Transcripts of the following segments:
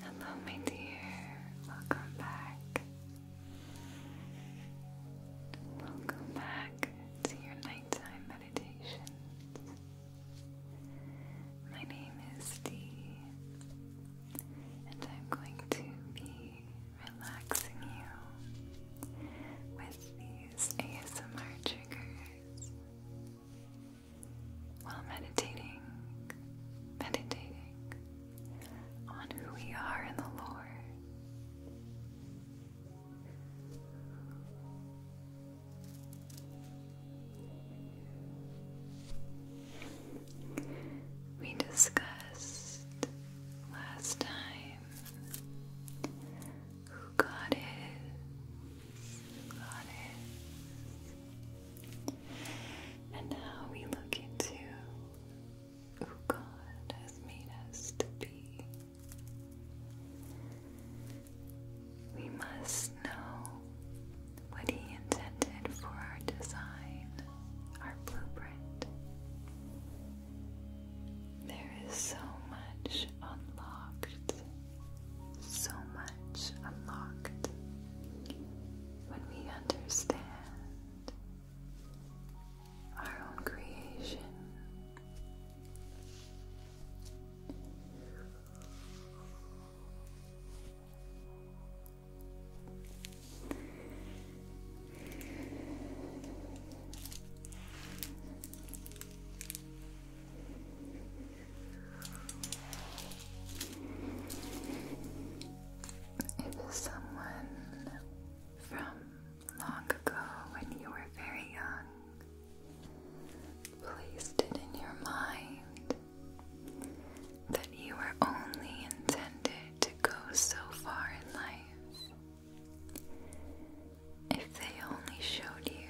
Hello, my dear. Welcome back. Welcome back to your nighttime meditations. My name is Dee, and I'm going to be relaxing you with these ASMR triggers while meditating, meditating on who we are in the Lord. We discussed last time who God is, who God is, and how we look into who God has made us to be. We must know what He intended for our design, our blueprint. There is so much unlocked, so much unlocked when we understand our own creation. If someone from long ago when you were very young placed it in your mind that you were only intended to go so far in life, if they only showed you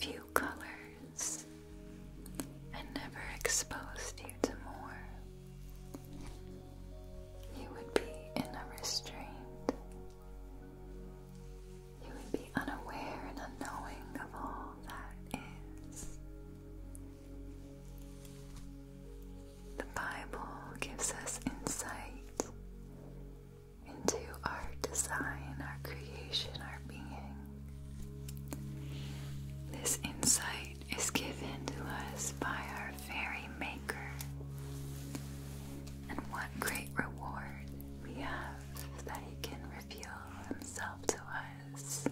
few colors and never exposed you to more, you would be in a restraint. You would be unaware and unknowing of all that is. The Bible gives us insight into our design, our creation, our being. This insight is given to us by our fairy maker, and what great reward we have that he can reveal himself to us,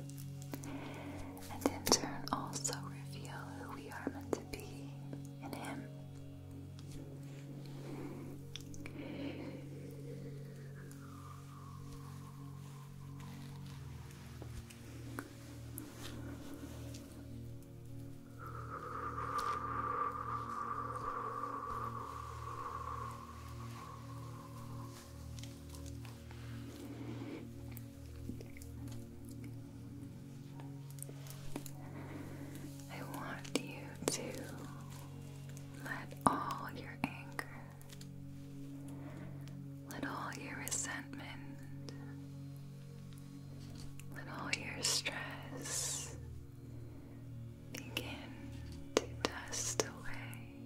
and in turn also reveal who we are meant to be in him. I want you to let all your anger let all your resentment, let all your stress begin to dust away.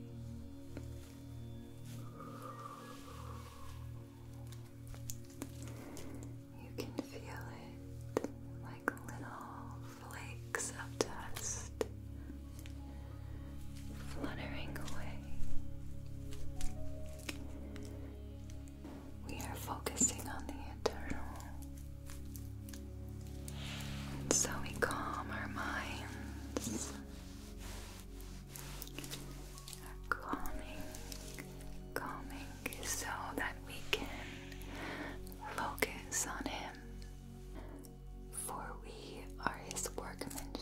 You can feel it like little flakes of dust fluttering away. We are focusing on the eternal. so we calm our minds. calming, calming so that we can focus on Him, for we are his workmanship.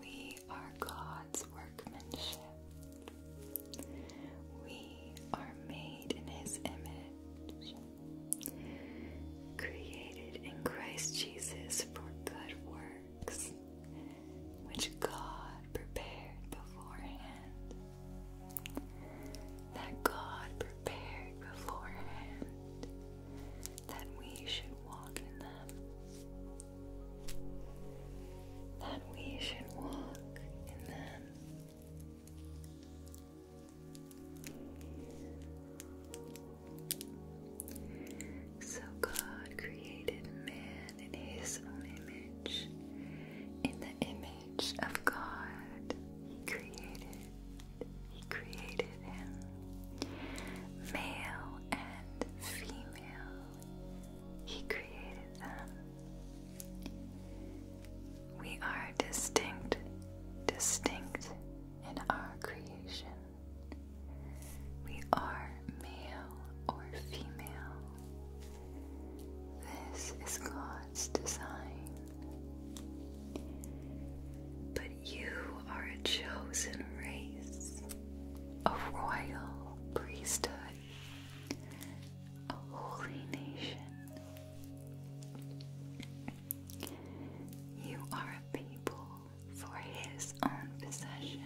We are God's workmanship. We are made in his image, created in Christ Jesus for good works, which God prepared beforehand. That God prepared beforehand that we should walk in them. That we should walk in them. So God created man in his own image. In the image of God, he created he created him, male and female. He created them. We are distinct, distinct in our creation. We are male or female. This is God's design. But you are a chosen race, a royal priesthood, a holy nation. You are a people for his own possession.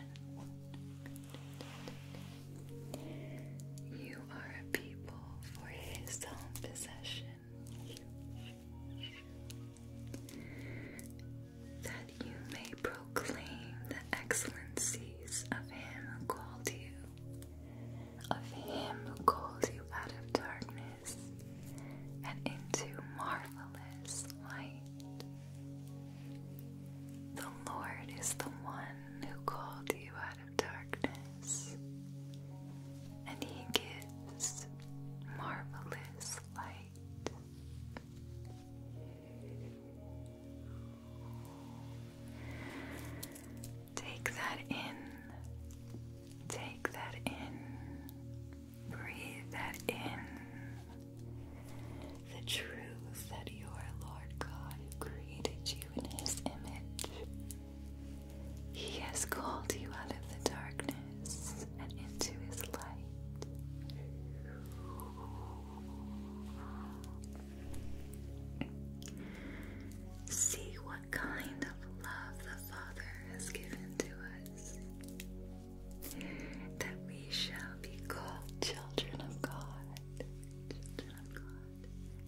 You are a people for his own possession that you may proclaim the excellencies of him who called you, of him who called you out of darkness and into marvelous light. The Lord is the one who called you out of darkness, and He this marvelous light. Take that in. Take that in. Breathe that in. The truth that you are Lord God who created you in His image. He has called you out of the darkness and into his light. See what kind of love the Father has given to us, that we shall be called children of God.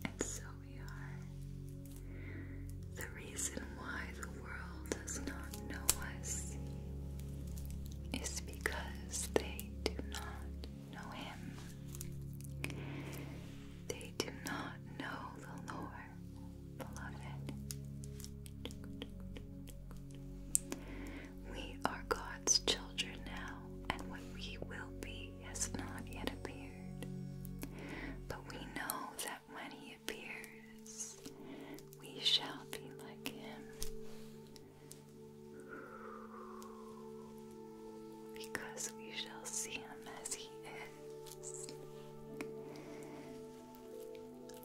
And so we are the reason why the world does not know us is because they do not know Him. They do not know the Lord, beloved. We are God's children now, and what we will be has not yet appeared. But we know that when He appears, we shall be like him. Because we shall see him as he is.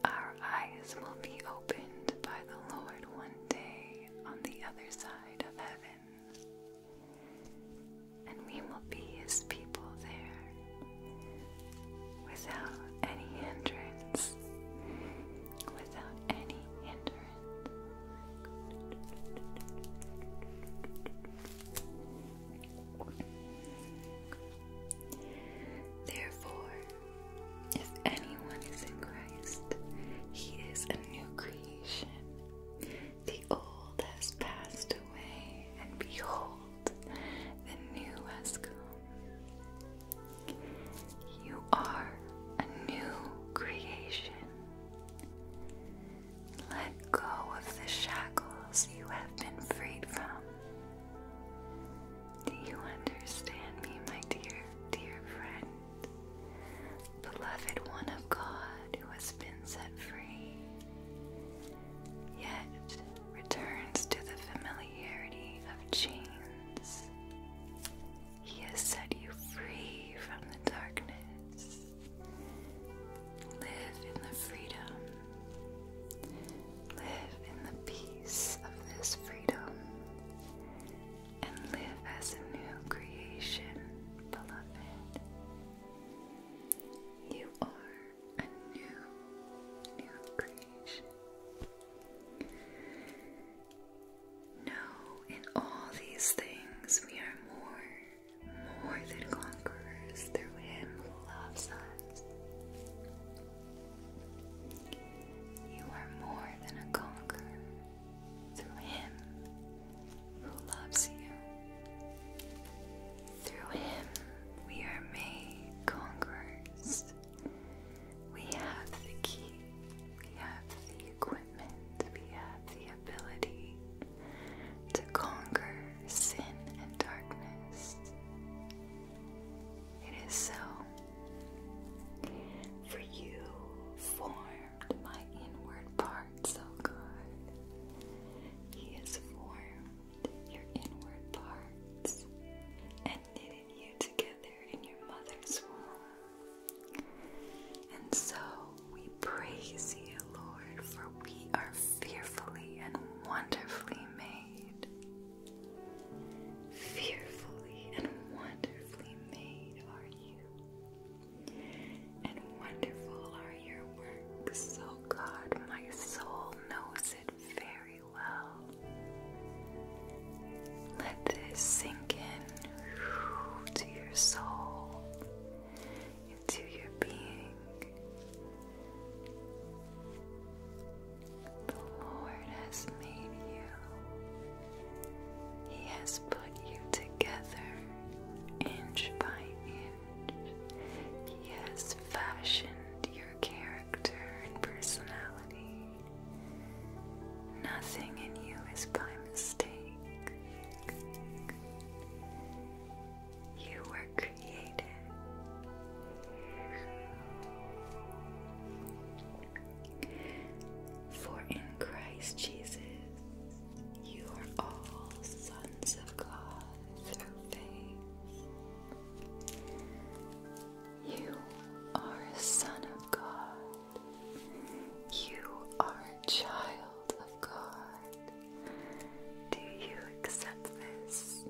Our eyes will be opened by the Lord one day on the other side of heaven, and we will be his people there without any hindrance, without any hindrance. Therefore, if anyone is in Christ, he is a new creation. The old has passed away, and behold, the new has come. You are a new creation. Let go of the shackles you have been freed from. Do you understand me, my dear, dear friend? Beloved one of God who has been set free. Yet returns to the familiarity of chains. He has set you free from the darkness. Live in the freedom. Live in the peace of this freedom. And live as a new creation, beloved. You are a new, new creation. No, in all these things we are more, more than conquerors through Him who loves us. You are more than a conqueror through Him who loves you. Through him we are made conquerors. We have the key, we have the equipment, we have the ability to conquer sin and darkness. It is so. For you formed my inward parts, O God. He has formed your inward parts, and knitted you together in your mother's womb. And so we praise you, Lord, for we are fearfully and wonderfully made. Fearfully and wonderfully made are you, and wonderful are your works, O oh God. My soul knows it very well. Let this sink in to your soul, into your being. The Lord has made you, He has put you together inch by inch. He has fashioned your character and personality. Nothing in you is by mistake. You were created. For in Christ Jesus, you are all sons of God through faith. You are a son of God. You are a child of God. Do you accept this?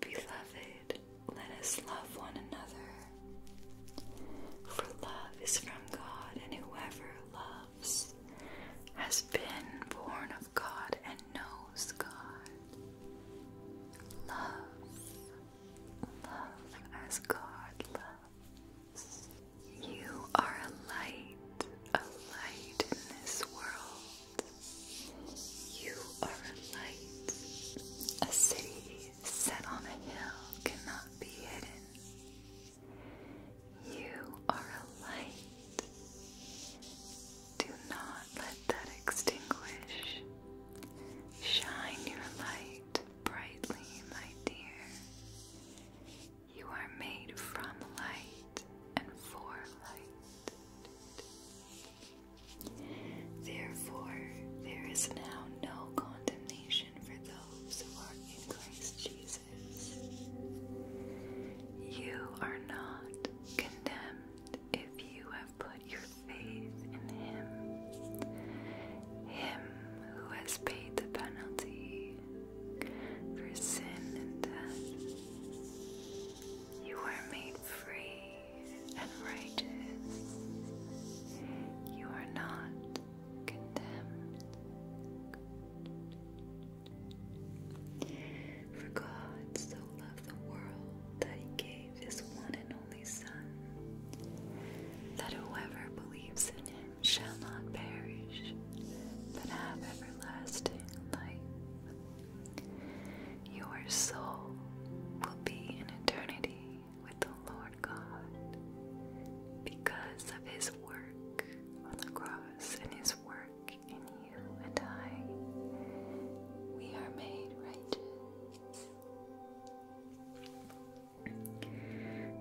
Beloved, let us love one another. For love is from God, and whoever loves loves, has been born of God and knows God. Love, love as God loves. You are a light, a light in this world. You are a light. A city set on a hill cannot be hidden. You are a light. Do not let that extinguish. Shine your light brightly, my dear. You are made from light and for light. Therefore, there is now no condemnation for those who are in Christ Jesus. You are not condemned if you have put your faith in Him, Him who has paid the penalty for sin and death. You are made free and righteous. You are not condemned. For God so loved the world that he gave his one and only Son, that whoever believes in him shall not perish, but have everlasting life. Your soul will be in eternity with the Lord God because of his work on the cross and his work in you and I. We are made righteous.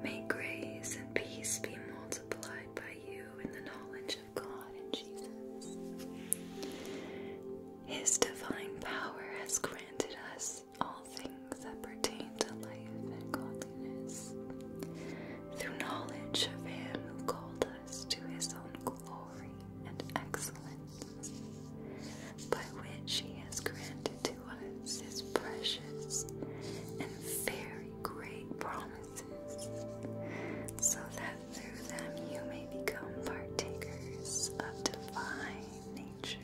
May grace and peace be multiplied by you in the knowledge of God and Jesus. His divine power has granted us all things that pertain to life and godliness through knowledge of Him who called us to His own glory and excellence, by which He has granted to us His precious and very great promises, so that through them you may become partakers of divine nature.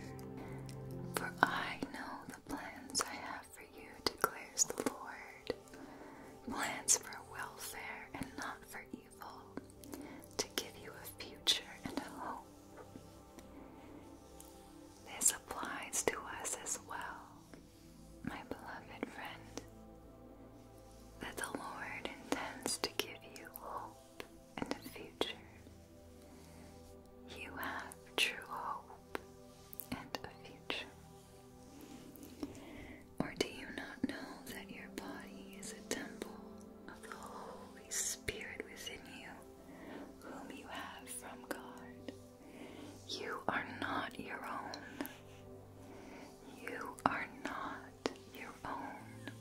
For I know the plans I have for you, declares the Lord. Plans for welfare and not for evil, to give you a future and a hope. This applies to us as well, my beloved friend, that the Lord intends to give you hope and a future. You have true hope and a future? Or do you not know that your body is a temple of the Holy Spirit within you, whom you have from God? You are not your own. You are not your own.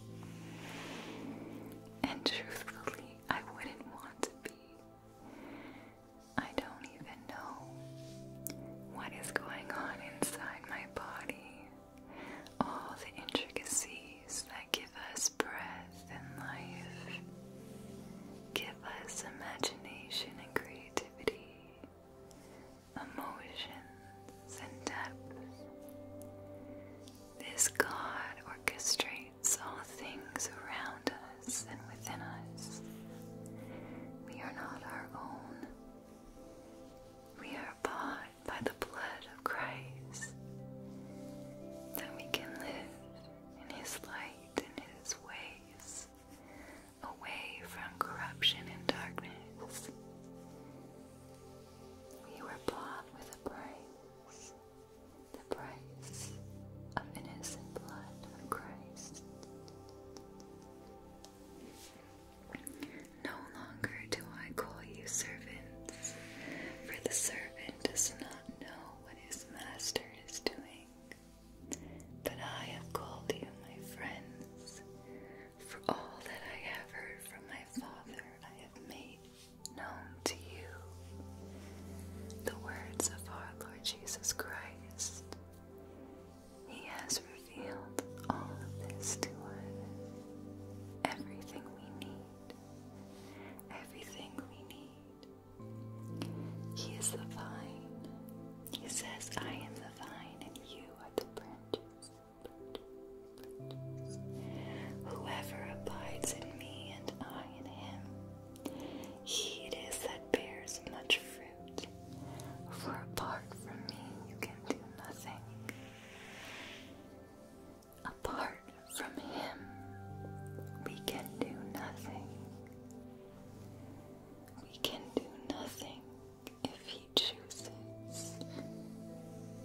And truthfully, I wouldn't want to be. I don't even know what is going on inside my body. All the intricacies that give us breath and life, give us imagination and creativity, emotions and depth. This God orchestrates all things around us and within us. We are not our own. We are bought by the blood of Christ. That we can live in His light and His ways, away from corruption and darkness. We were bought with a price, the price of innocent blood of Christ. No longer do I call you servants, for the servant does not know what his master is doing. But I have called you my friends, for all that I have heard from my Father I have made known to you. The words of our Lord Jesus Christ. He has revealed all of this to us. Everything we need. Everything we need. He is the vine. He says, I am the vine and you are the branches. branches. Whoever abides in me and I in him, he it is that bears much fruit for apart from me you can do nothing. Apart from Him, we can do nothing. We can do nothing if He chooses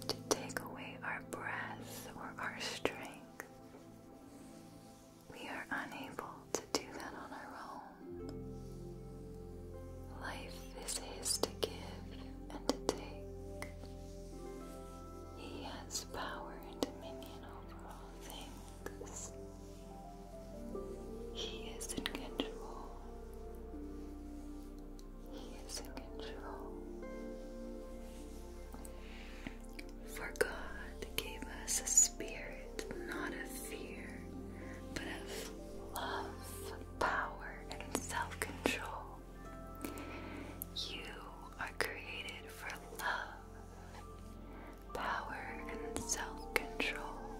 to take away our breath or our strength. We are unable to do that on our own. Life is His to give and to take. He has power and dominion over all things. He is in control. He is in control. For God gave us a spirit not of fear, but of love, power, and self control. You are created for love, power, and self control,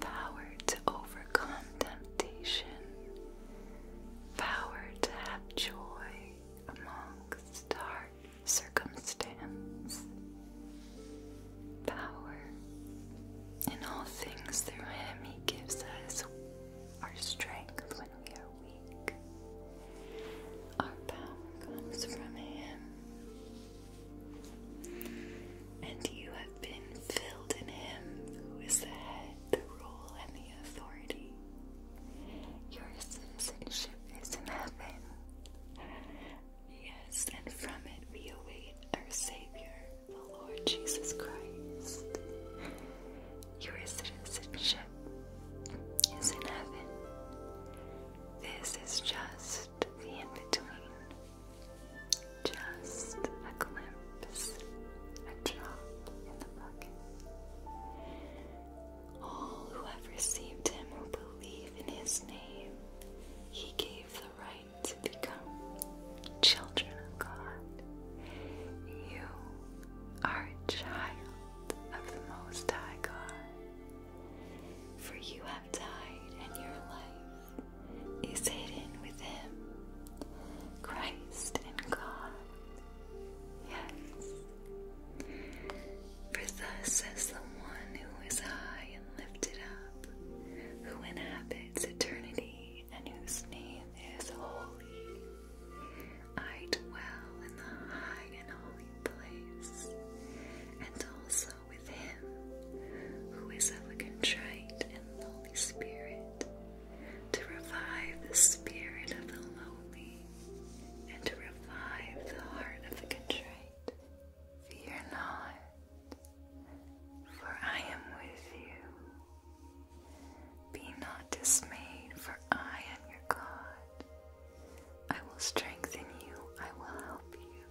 power to overcome temptation, power to have joy amongst our circumstance power. In all things, through Him, He gives us our strength when we are weak. Our power comes from Him. And you have been filled in Him who is the head, the rule, and the authority. Your citizenship is in heaven, Yes, and from it we await our Savior, the Lord Jesus Christ. Your citizenship is in heaven. This is just the in between, just a glimpse, a drop in the bucket. All who have received Him will believe in His name. He gave the right to become children of God. You are a child of the Most High God, for you have died, and your life is hidden with Him, Christ and God. Yes. For thus says the one who is high and lifted up up, who inhabits eternity and whose name is holy. I dwell in the high and holy place, and also with him who is ever contrite and holy spirit, to revive the spirit of the lonely and to revive the heart of the contrite. Fear not, for I am with you. Be not dismayed, for I am your God. I will strengthen you, I will help you,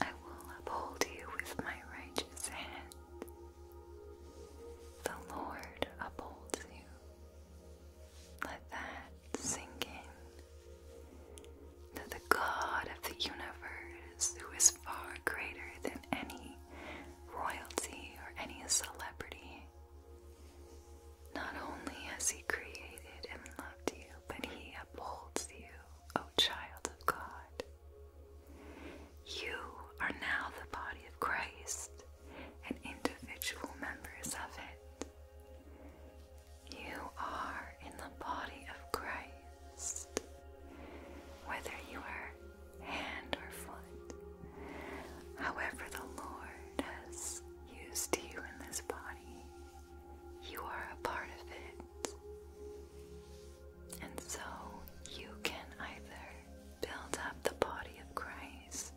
I will uphold you with my righteous hand. The Lord upholds you. Let that sink in that the God of the universe, who is far greater than any royalty or any celebrity, not only has He created and loved you, but He upholds you, O child of God. You are now the body of Christ and individual members of it. You are in the body of Christ, whether you are hand or foot, however, the Lord has used you in this body, you are a part of it. And so you can either build up the body of Christ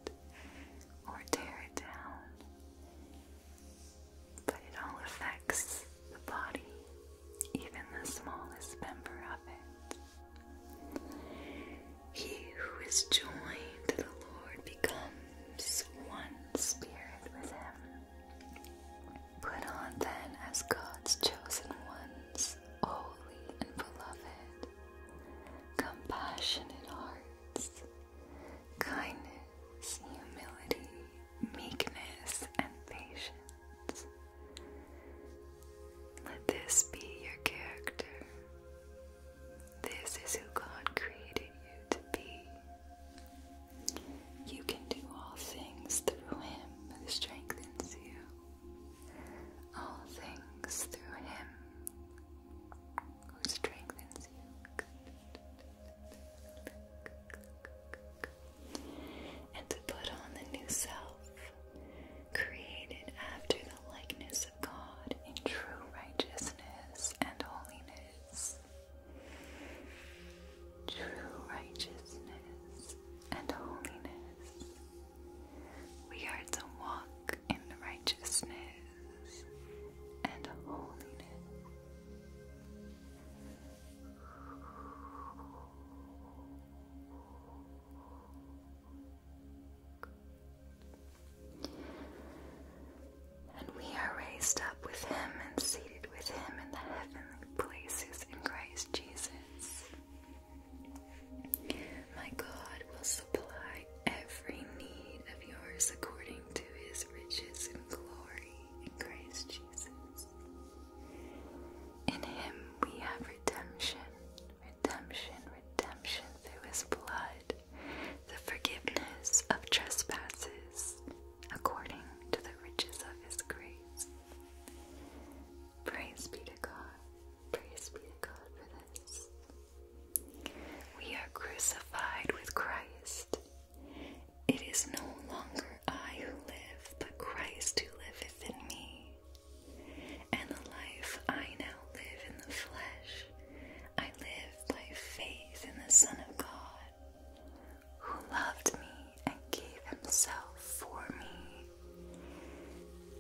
or tear it down. But it all affects the body, even the smallest member of it. He who is joined to the Lord becomes one spirit with him. Put on then as God's chosen ones, holy and beloved, compassionate hearts kindness, humility, meekness, and patience. Let this be your character. This is who God created you to be. You can do all things through Him who strengthens you. All things through Him who strengthens you and to put on the new self, created after the likeness of God in true righteousness and holiness. True righteousness and holiness. We are to walk in righteousness and holiness. And we are raised up with Him and seated with Him in the heavenly places in Christ Jesus. My God will supply every need of yours according to His riches and glory in Christ Jesus. In him we have redemption, redemption, redemption through his blood, the forgiveness of trespasses, according to the riches of his grace. Praise be to God, praise be to God for this. We are crucified with Christ. It is no longer I who live, but Christ who liveth in me. And the life I now live in the flesh, I live by faith in the Son of God, who loved me and gave himself for me.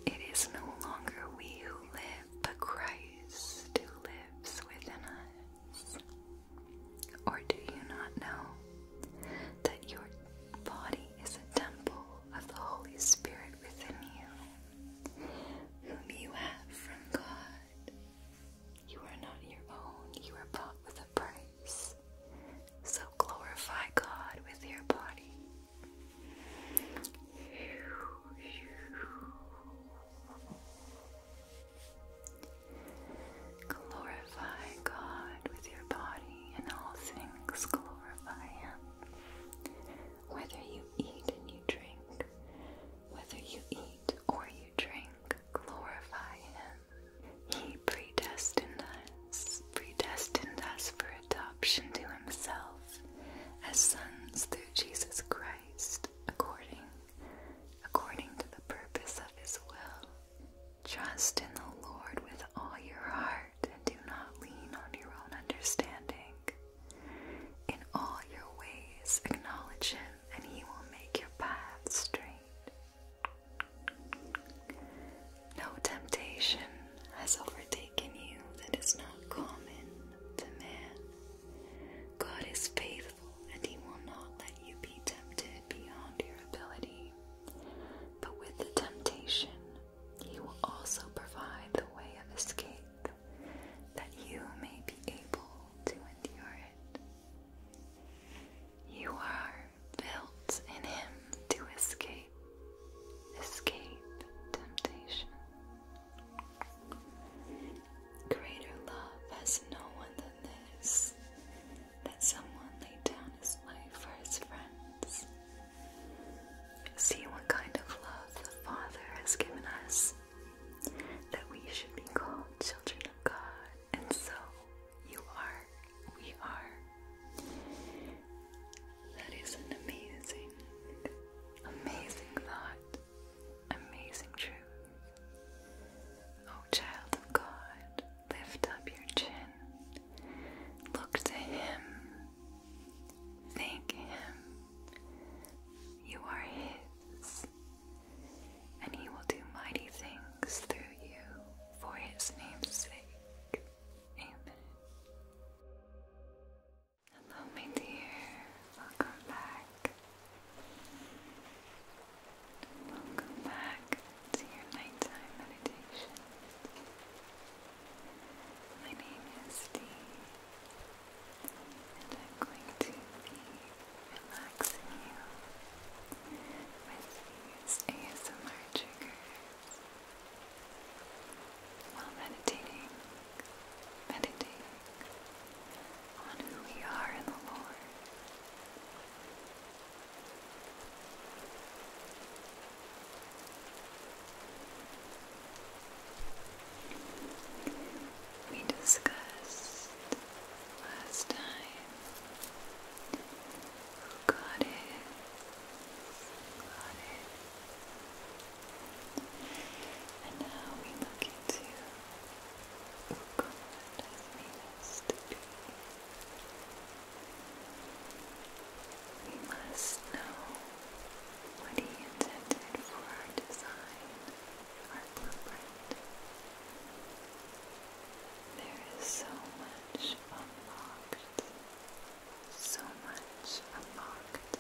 It is no longer we who live, but Christ who lives within us. Or do you not know that your body is a temple of the Holy Spirit within you, whom you have from God? You are not your own, you are bought with a price. So glorify God with your body. Glorify God with your body and all things glorify Him. Whether you eat and you drink, whether you eat or you drink, glorify Him. He predestined us, predestined us for adoption to Himself as sons through Jesus Christ, according according to the purpose of His will. Trust in the Lord with all your heart and do not lean on your own understanding. In all your ways, acknowledge Him, and He will make your path straight. No temptation has overtaken you that is not common to man. God is faithful, and He will not let you be tempted beyond your ability. But with the temptation, he will also provide the way of escape that you may be able to endure it. You are built in him to escape, escape temptation. Greater love has no one than this that someone laid down his life for his friends. See what kind of love the Father has given us, that we should be called children of God, and so you are, we are. That is an amazing, amazing thought, amazing truth. O oh, child of God, lift up your chin. Look to Him. Thank Him. You are His, and He will do mighty things through you for His name's sake. Amen. Hello, my dear. Welcome back. Welcome back to your nighttime meditation. My name is Dee, and I'm going to be relaxing you with these ASMR triggers while meditating, meditating on who we are in the Lord. We discussed last time who God is, who God and now we look into who God has made we must know what He intended for our design, our blueprint. There is so much unlocked, so much unlocked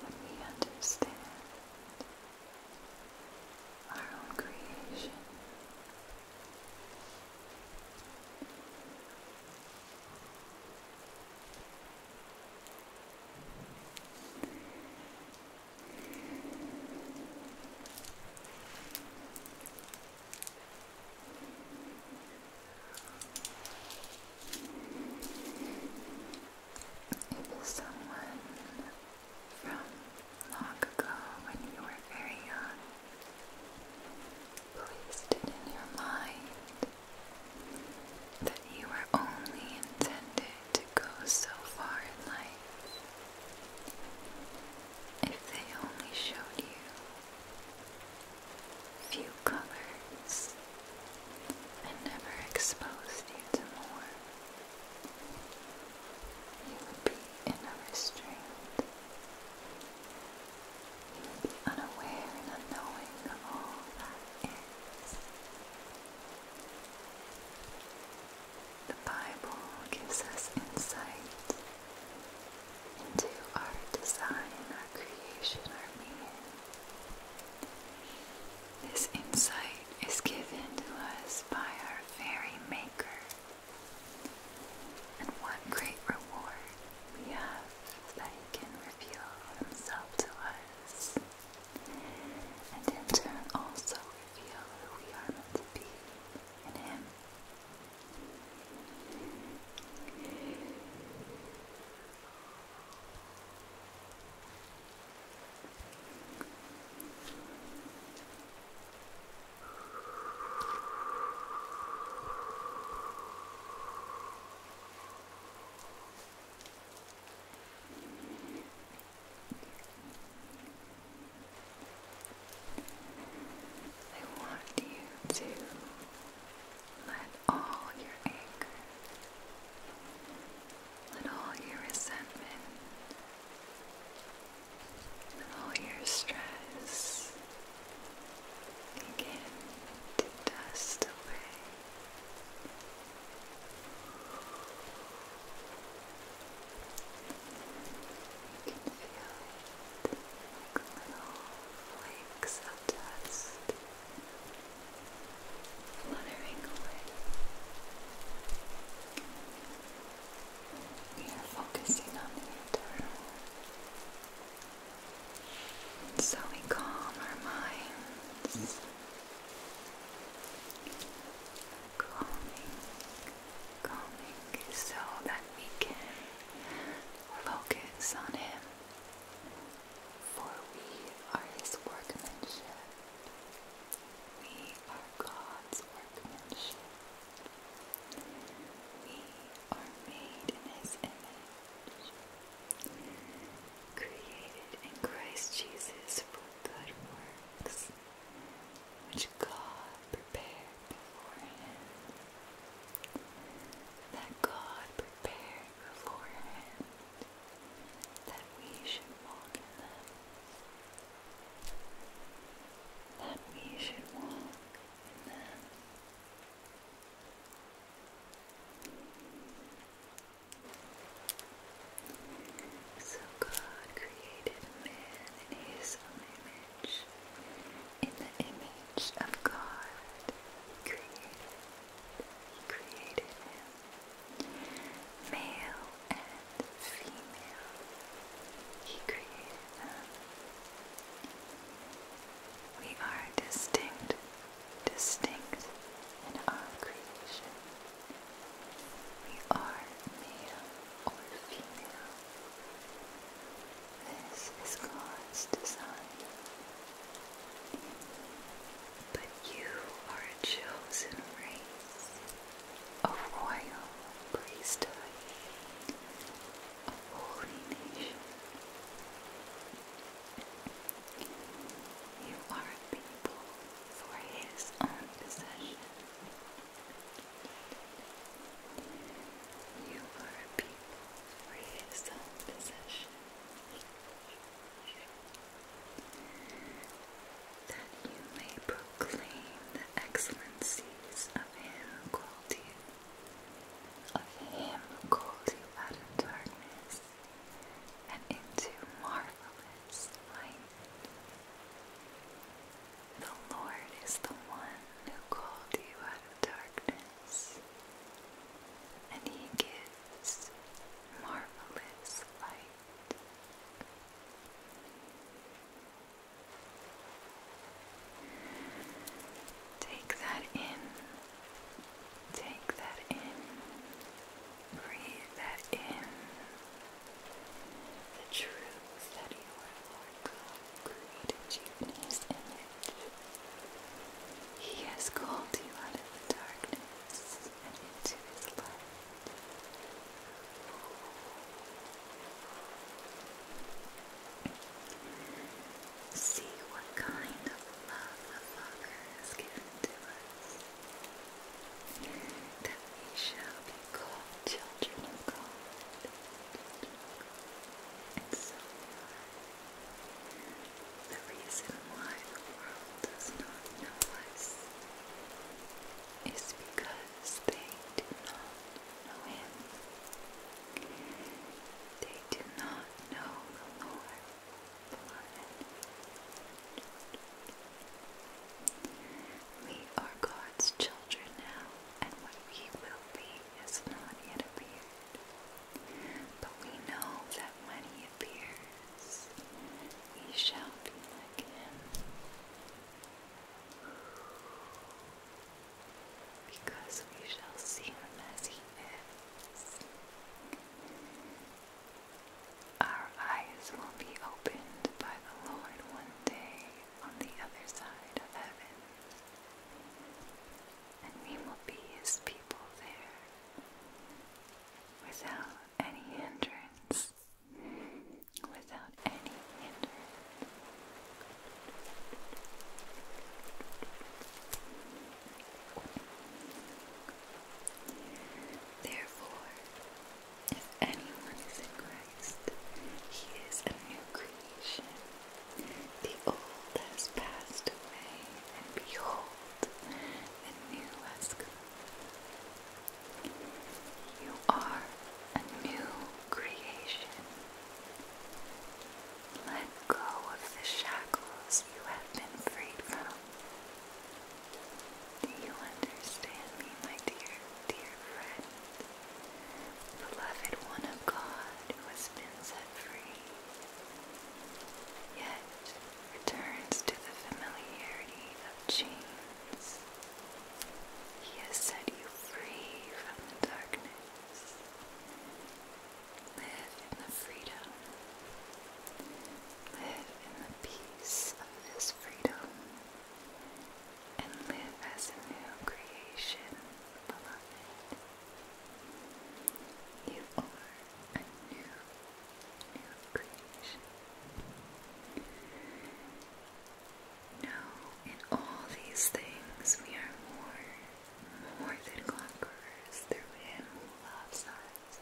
when we understand our own creation if someone from long ago when you were very young. Placed it in your mind that you were only intended to go so far in life. If they only showed you few colors and never exposed you to more. He would be in a restraint. He would be unaware and unknowing of all that is. The Bible gives us insight into our design, our creation, our being. This insight is given to us by our very Maker. And one great reward we have is that he can reveal himself to us, and in turn also reveal who we are meant to be in him. I want you to let all your anger, let all your resentment, all your stress begin to dust away. You can feel it little flakes of dust fluttering away we are focusing on the internal so we calm our minds calming calming so that we can focus on him for we are his workmanship we are God's workmanship we are made in His image, created in Christ Jesus for good works, which God prepared beforehand. That God prepared beforehand that we should walk in them that we should walk in them. So God created man in his own image. In the image of God, he created him. Male and female. He created them. We are distinct, distinct in our creation. We are male or female. This is God's design. But you are a chosen race, a royal priesthood, a holy nation. You are a people for his own possession. You are a people for his own possession. That you may proclaim excellencies of him who called you, called you out of darkness and into marvelous light. The Lord is the one who called you out of darkness, and he gives marvelous light. Take that in. Take that in. Breathe that in. The truth that your Lord created you in His He has called you out of the darkness and into His light. See what kind of love the Father has given to us, that we shall be called children of God. And so The reason why the world does not know us is because they do not Oh, Noel. They do not know the Lord. We are God's children now, and what we will be has not yet appeared. But we know that when He appears, we shall be like Him because we shall see him as he is. Our eyes will be opened by the Lord one day on the other side of heaven, and we will be his people there without any hindrance without any hindrance. Therefore, if anyone is in Christ, he is a new creation. The old has passed away, and behold, the new has come. You are a new creation. Let go of the shackles you have been freed from. Do you understand me, my dear, dear friend? Beloved one of God who has been set free, yet returns to the familiarity of chains. He has set you free from the darkness. Live in the freedom. Live in the peace of this freedom. And live as a new creation, beloved. You are a new, new creation. No, in all these things we are more, more than conquerors through Him who loves us.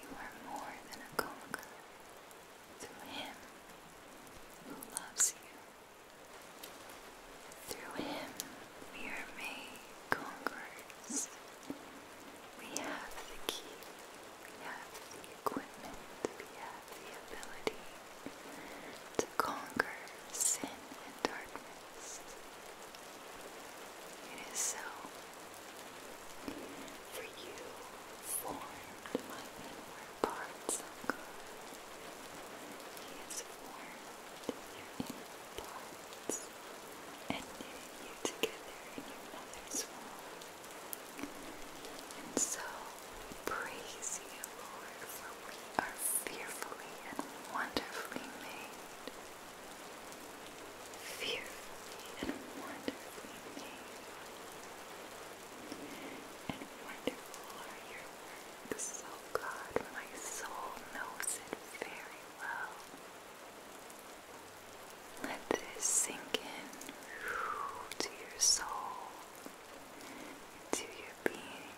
You are more than a conqueror through Him who loves you. Through Him we are made conquerors. We have the key, we have the equipment, we have the ability to conquer sin and darkness. It is so. For you formed my inward parts, O God. He formed your inward parts and knitted you together in your soul. And so we praise you, Lord, for we are fearfully and wonderfully made. Fearfully and wonderfully made. And wonderful are your works, O God, my soul knows it very well. Let this sink in to your soul into your being.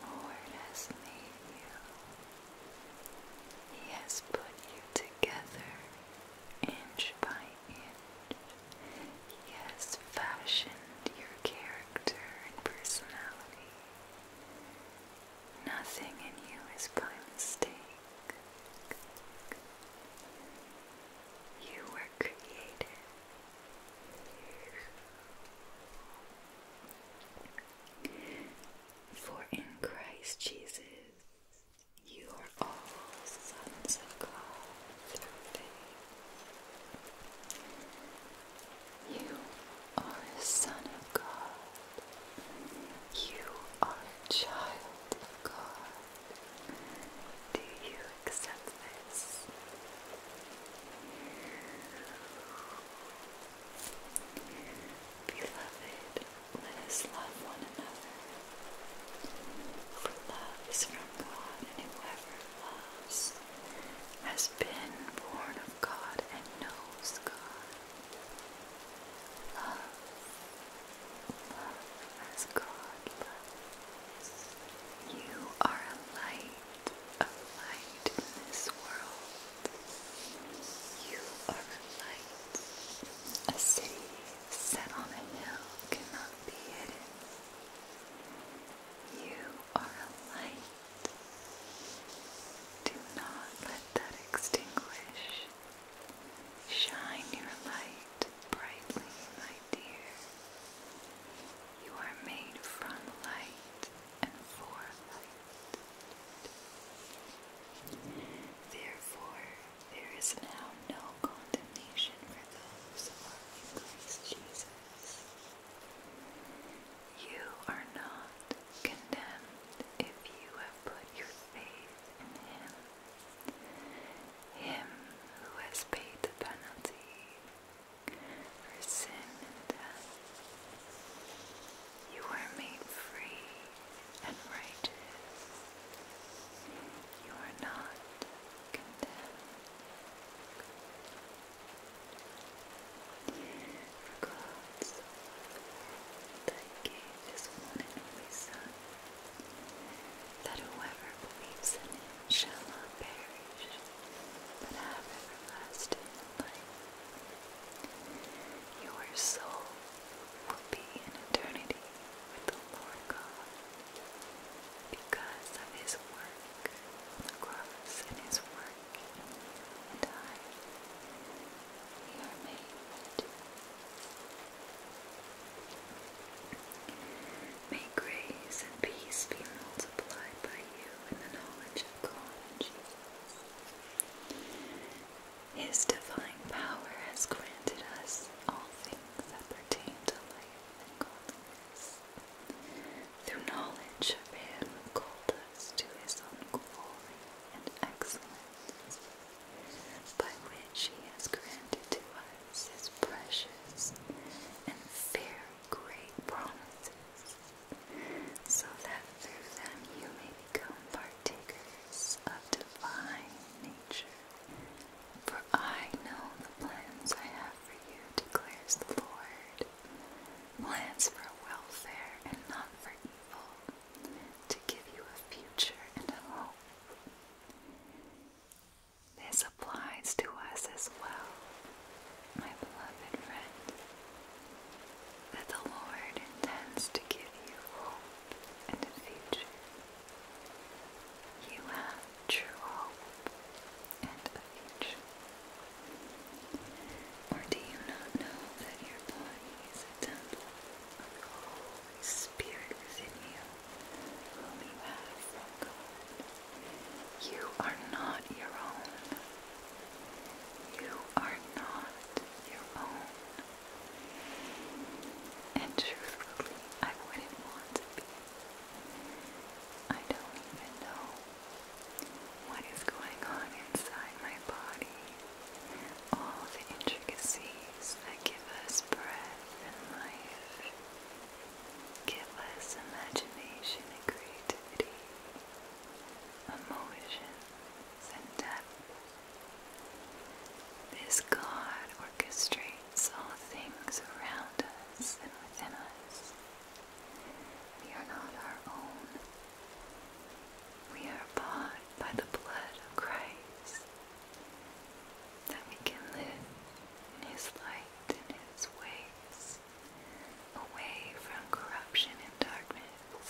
The Lord has made you. He has put you together inch by inch. He has fashioned your character and personality. Nothing in you is by mistake. You were created. For in Christ Jesus, you are all sons of God You are a son of God you are a child of God. Do you accept this? Beloved, let us love one another. For love is from God, and whoever loves has been born of God and knows God. Love, love as God You are a light, a light in this world. You are a light. A city set on a hill cannot be hidden. You are a light. Do not let that extinguish Shine your light brightly, my dear. You are made from light and for light. Therefore, there is now no condemnation for those who are in Christ Jesus. You are not condemned if you have put your faith in Him. Him who has paid the penalty for sin and death. You are made free and righteous. You are not condemned. For God's so that gave his one Son, that whoever believes in him shall perish, but have everlasting life. Your soul will be in eternity with the Lord God, because of his work the cross and his work and I. We are made. May grace and peace be multiplied by you in the knowledge of God and Jesus. His divine power has granted us all things that pertain to life and godliness. Through knowledge of Him who called us to His own glory and excellence, by which he has granted to us his precious and fair great promise, so that through them you may become partakers of divine nature. For I know the plans I have for you, declares the Lord, plans for welfare and not for evil, to give you a future and a hope. This applies to us as well, my beloved friend, that the Lord intends to give you hope and a future. You have true hope and a future. Or do you not know that your body is a temple of the Spirit is in you, You are not your own. You are not your own. And truthfully, I wouldn't want to be. I don't even know what is going on inside my body all the intricacies that give us breath and life, give us imagination and creativity, emotions and This God orchestrates all things around us and within us. We are not our own. We are bought by the blood of Christ that we can live in His light and His ways, away from corruption and darkness.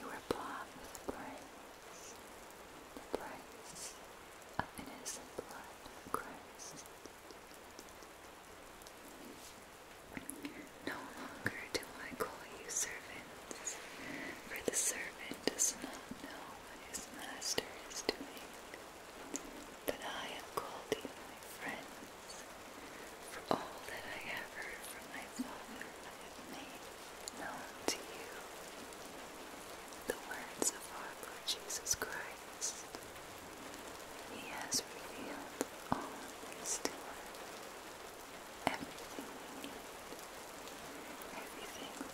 You were with a the price of innocent blood Christ. No longer do I call you servants, for the servant does not know what his master is doing. But I have called you my friends, for all that I have heard from my Father I have made known to you. The words of our Lord Jesus Christ. He has revealed all things to us everything we need. Everything we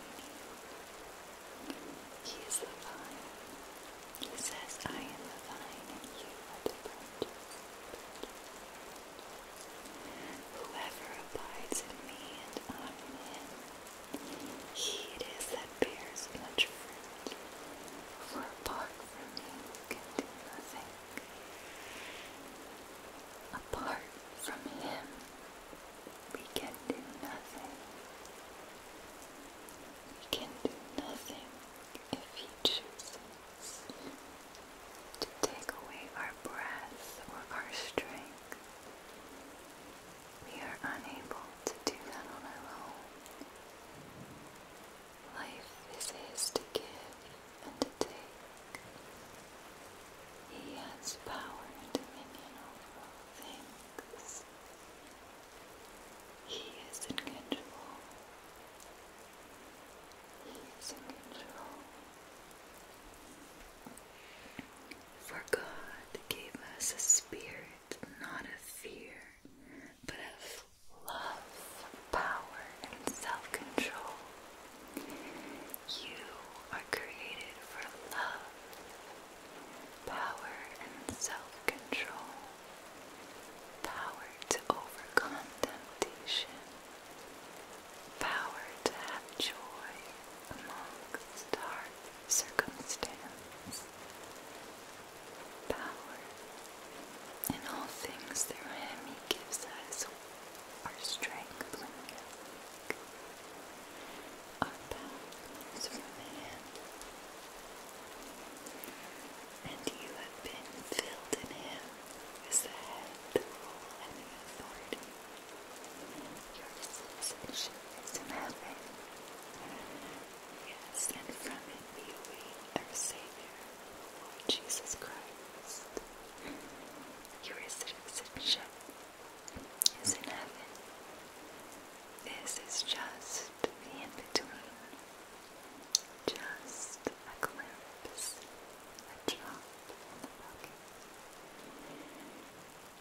need. He is the vine. He says, I am the vine and you are the branches. Whoever abides in me and I in him, he it is that bears much fruit. For apart from me, you can do nothing. Apart from Him, we can do nothing. We can do nothing if He chooses to take away our breath or our strength. We are unable to do that on our own. Life is His to give and to He has power and dominion over all things. He is in control. He is in control. For God gave us a spirit not of fear, but of love, power, and self control. You are created for love, power, and self control, power to overcome temptation, power to have joy amongst hard circumstances. power. In all things through him he gives us are strangling your neck. Our path is from him, and you have been filled in him as the head, the rule, and the authority. Your citizenship is in heaven. Yes, and from it we await our Savior, Lord Jesus Christ. Your citizenship is in heaven. This is just the in between, just a glimpse, a drop in the bucket.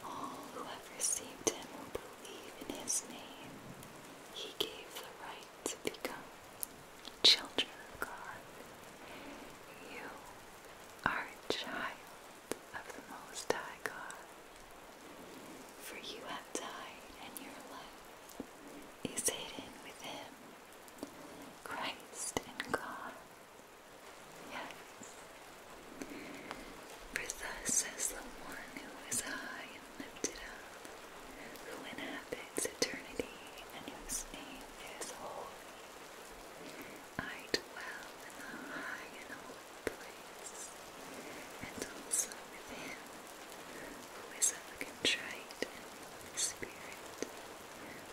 All who have received him will believe in his name. He gave the right to become children of God. You are child of the Most High God. For you have died, and your life is hidden with Him, Christ and God. Yes. For thus says the one who is high and lifted up, who inhabits eternity, and whose name is holy. I dwell in the high and holy place, and also with him who is of a contrite spirit,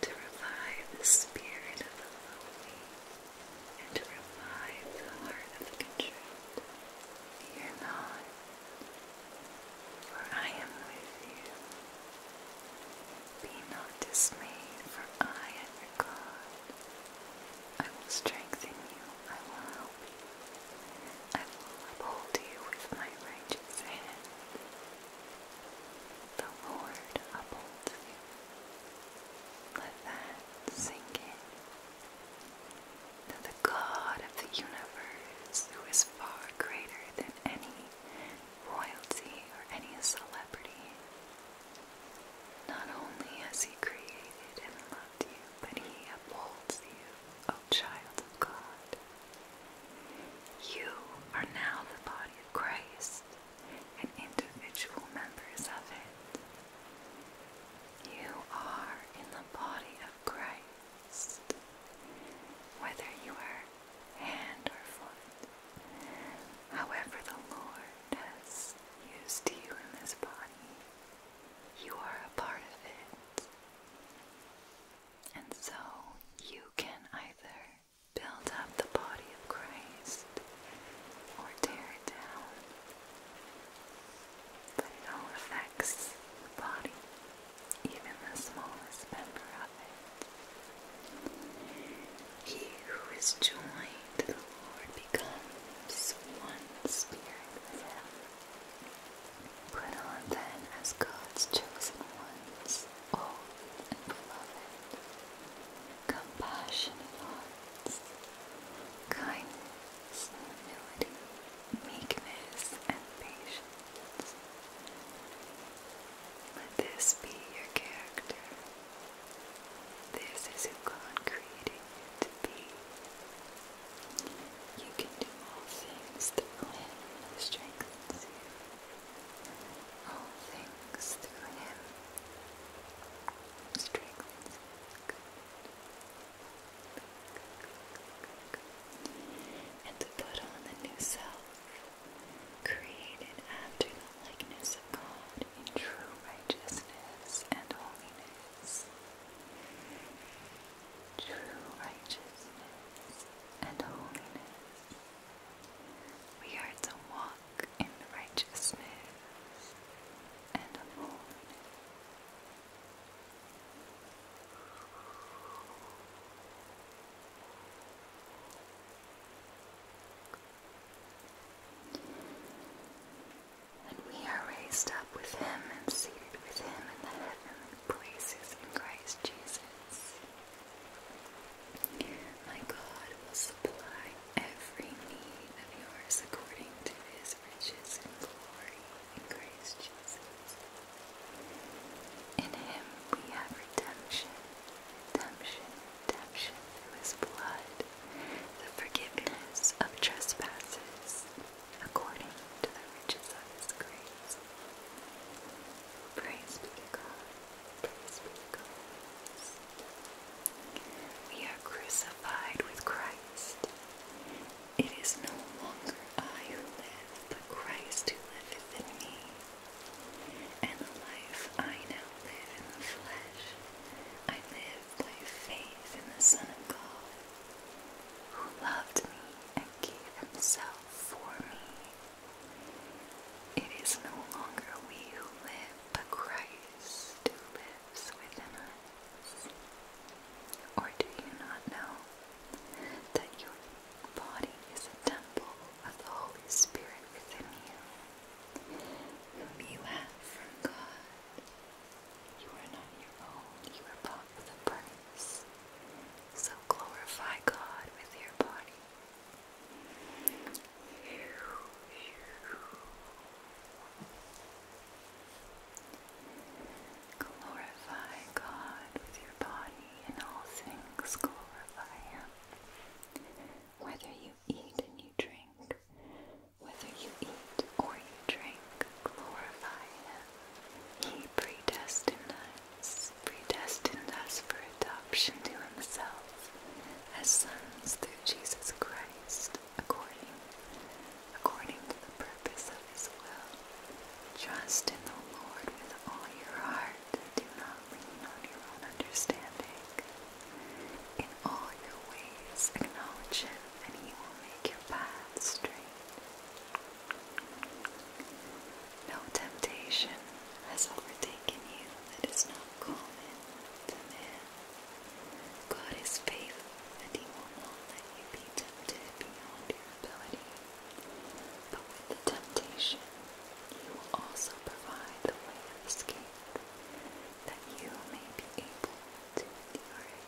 to revive the spirit of the lowly, and to revive the heart of the contrite. Fear not, for I am with you. Be not dismayed, for I am God. I will strengthen you, I will help you. I will uphold you with my righteous hand. The Lord upholds you. Let that sink in. That the God of the universe, who is far greater than any royalty or any celebrity. Not only has He created and loved you, but He upholds you, O child of God. You are now the body of Christ and individual members of it. You are in the body of Christ. Whether you are hand or foot. However, the Lord has used you in this body, you are a part of it. And so you can either build up the body of Christ or tear it down. But it all affects the body, even the smallest member he who is joined to the Lord becomes one spirit with him. on then as God's chosen ones, holy beloved, compassionate hearts, kindness, humility, meekness, and patience. Let this be your character this is who God created you to be. You can do all things through Him who strengthens you. All things through Him strengthens And to put on the new self created after the likeness of God in true righteousness and holiness. True righteousness and holiness. We are to walk in righteousness and holiness. And we are raised up with him and seated with him in the heavenly places in Christ Jesus. My God will supply every need of yours according to his riches and glory in Christ Jesus. In him we have redemption, redemption redemption through blood, the forgiveness of trespasses, according to the riches of his grace. Praise be to God. Praise be to God. We are crucified with Christ. It is no longer I who live, but Christ who liveth in me and the life I now live in the flesh, I live by faith in the Son of God, who loved me and gave himself for me. It is no longer we who live, but Christ who lives within us. Or do you not know that your body is a temple of the Holy Spirit within you? whom you have from God. You are not your own, you are bought with a price. So glorify God with your body. Glorify God with your body in all things, glorify Him. Whether you eat and you drink, whether you eat or you drink, glorify Him. He predestined predestined us for adoption to Himself as sons through Jesus Christ, according, according to the purpose of His will. Trust in the Lord with all your heart do not lean on your own understanding. In all your ways acknowledge him, and he will make your path straight. No temptation has overtaken you that is not common to man. God is faithful, and he will not let you be tempted beyond your ability. But with the temptation, you will also provide the way of escape that you may be able to endure it.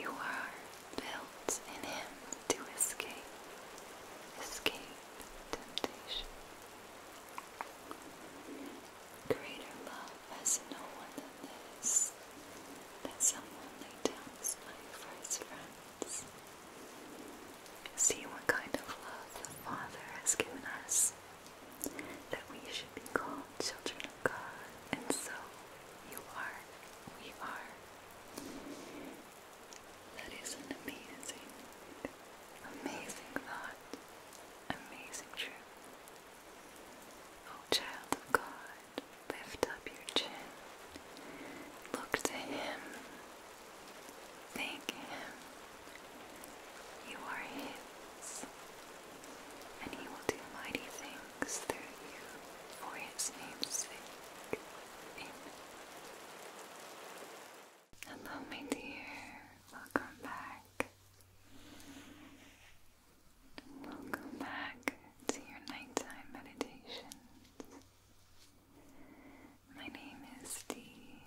You are built in Him to escape, escape temptation. Greater love has no one than this, that someone lay down his life for his friends. See what kind of love the Father has given us, that we should be called children of God, and so you are, we are. That is an amazing, amazing thought, amazing truth. O oh, child of God, lift up your chin, look to Him Thank Him. You are His, and He will do mighty things through you for His name's sake. Hello, my dear. Welcome back. Welcome back to your nighttime meditations. My name is Dee,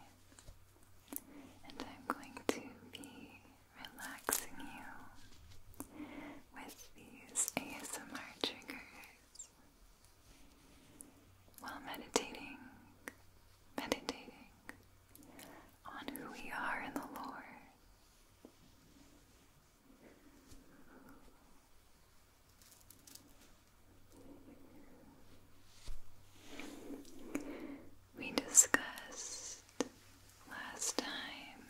and I'm going to be relaxing you with these ASMR triggers while meditating, meditating on who we are in the Lord. We discussed last time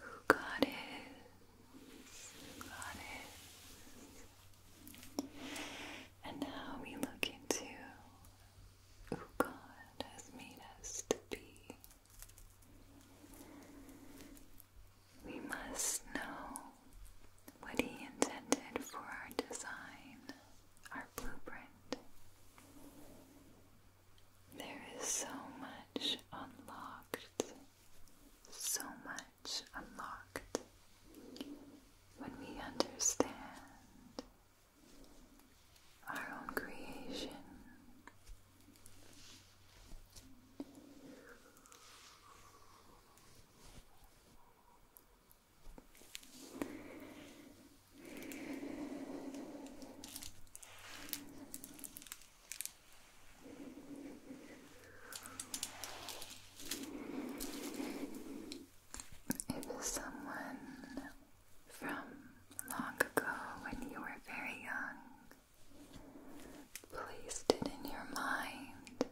who God is, and now we look into who God has made us to be. We must know what he intended for our design, our blueprint. There is so much unlocked, so much unlocked when we understand our own creation. If someone from long ago when you were very young placed it in your mind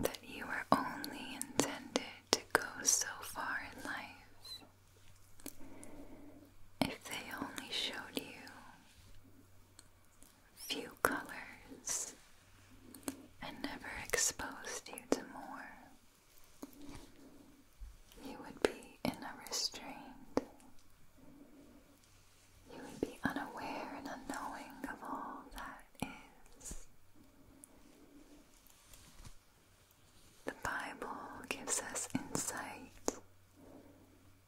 that you were only intended to go so far in life. If they only showed you few colors and never exposed you to more, you would be in a restraint you would be unaware and unknowing of all that is. The Bible gives us insight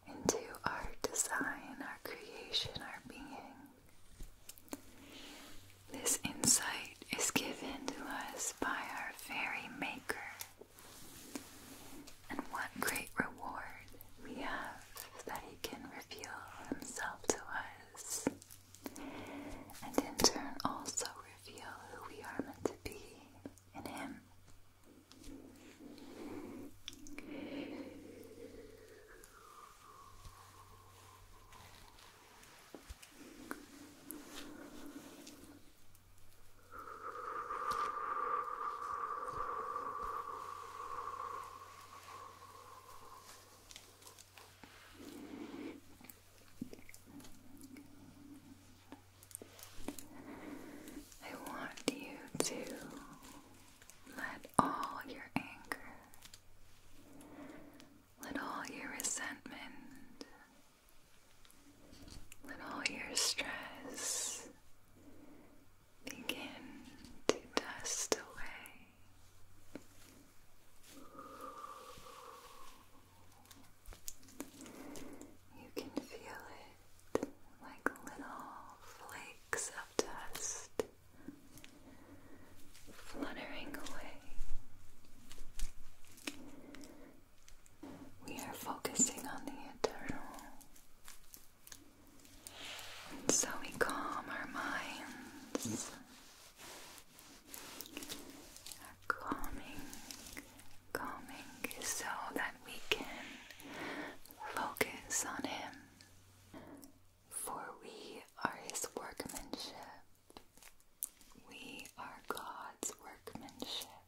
into our design, our creation, our being. This insight is given to us by our very Maker, and what great reward we have that He can reveal Himself to us and in turn also reveal who we are meant to be in Him. I want you to let all your anger, let all your resentment, let all your stress begin to dust away. You can feel it like little flakes of dust fluttering away. We are focusing on the eternal so we calm our minds. calming, calming, so that we can focus on Him. For we are His workmanship. We are God's workmanship.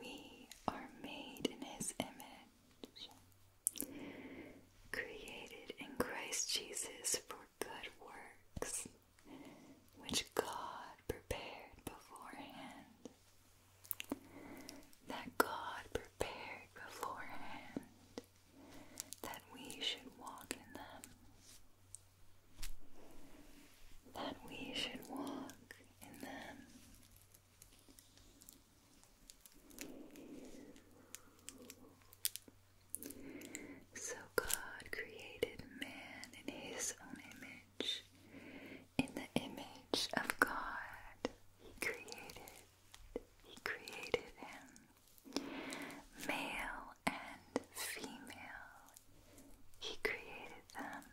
We are made in His image created in Christ Jesus for good works, which God prepared beforehand. That God prepared beforehand that we should walk in them. That we should walk in them. So God created man in his own image. In the image of God, he created he created him. Male and female, he created them.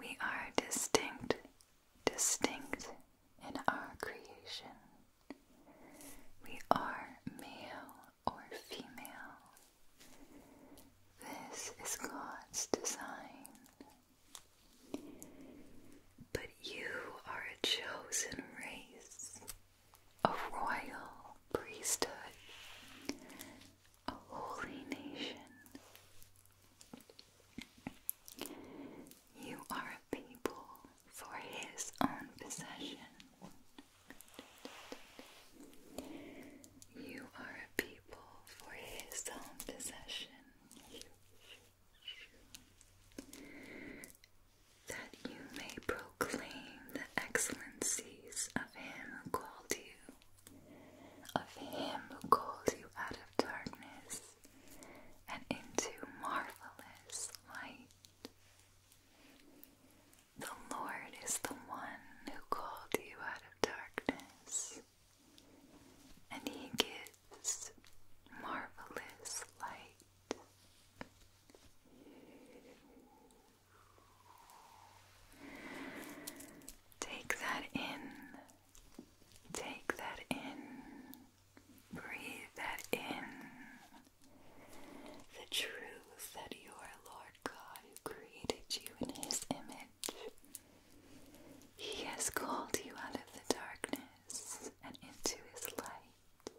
We are distinct, distinct in our creation. We are male or female. This is God's design. But you are a chosen race, a royal priesthood, a holy nation. You are a people for his own possession. You are a people for his own possession. That you may proclaim the excellencies of him who called you, of him who called you out of darkness and into marvelous light. The Lord is the one who called you out of darkness, and He gives marvelous light. Take that in. Take that in. Breathe that in. The truth that you are Lord God who created you in His image. He has called you out of the darkness and into His light.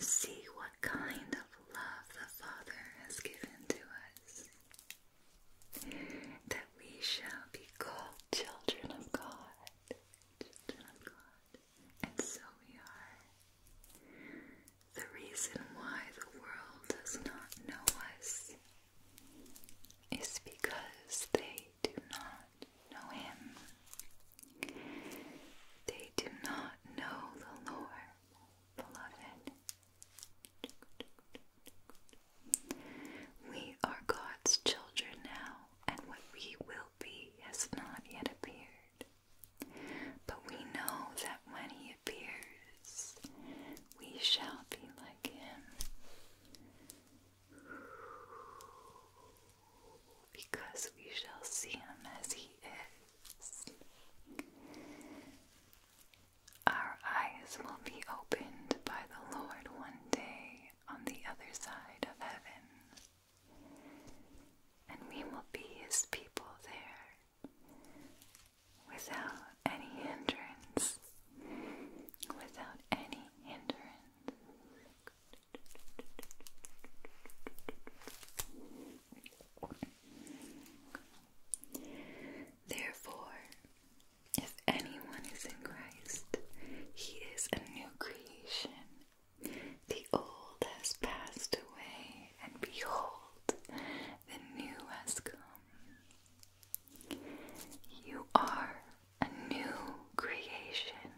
See what kind of love the Father has given to us, that we shall be called children of God. Children of God. And so we are. The reason why the world does not know us is because they do not know Him. They do not know the Lord, beloved. We are God's children now, and what we will be has not yet appeared. But we know that when He appears, we shall be like Him. Because we shall see Him as He is. Our eyes will be opened by the Lord one day on the other side of heaven, and we will be His people there without any hindrance. Without any hindrance. Therefore, if anyone is in Christ, he is a new creation. The old has passed away, and behold, the new has come. You are a new creation.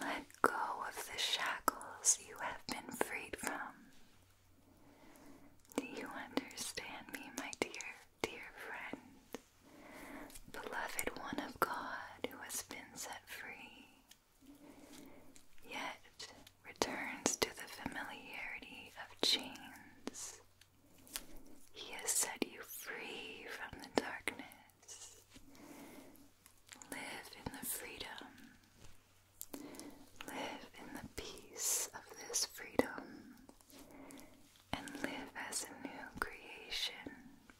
Let go of the shackles you have been freed from do you understand me, my dear, dear friend? Beloved one of God who has been set free, yet returns to the familiarity of chains. He has set you free from the darkness. Live in the freedom Live in the peace of this freedom and live as a new creation,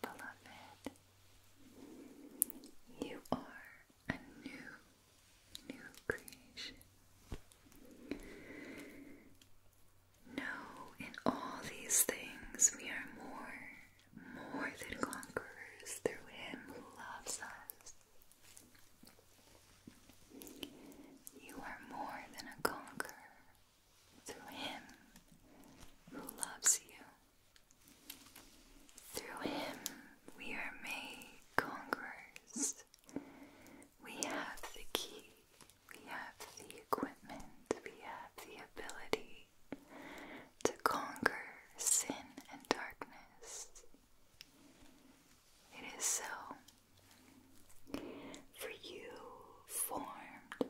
beloved. You are a new, new creation. Know in all these things we are more, more than conquerors through Him who loves us. You are more than a conqueror through Him who loves you. Through Him we are made conquerors. We have the key, we have the equipment, we have the ability to conquer sin and darkness. It is so. For you formed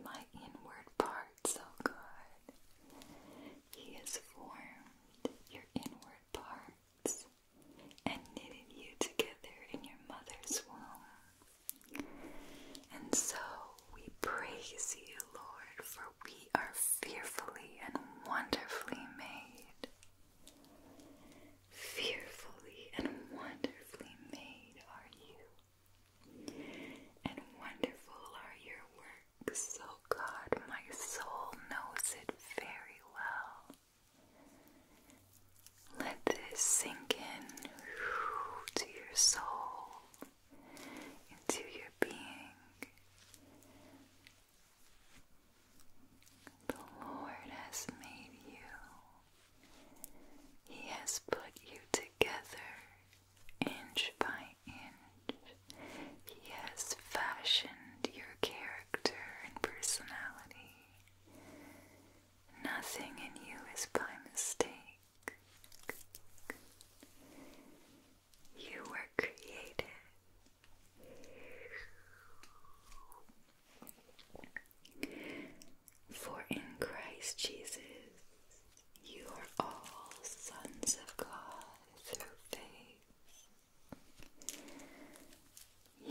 my inward parts, O oh God. He has formed your inward parts and knitted you together in your mother's womb. And so we praise you, Lord, for we are fearfully and wonderfully made. Fearfully and wonderfully made are you, and wonderful are your works, O God, my soul knows it very well. Let this sink in to your soul, into your being. The Lord has made you, He has put you together inch by inch. He has fashioned your character and personality. Nothing in you is by mistake. You were created for in Christ Jesus you are all sons of God through faith.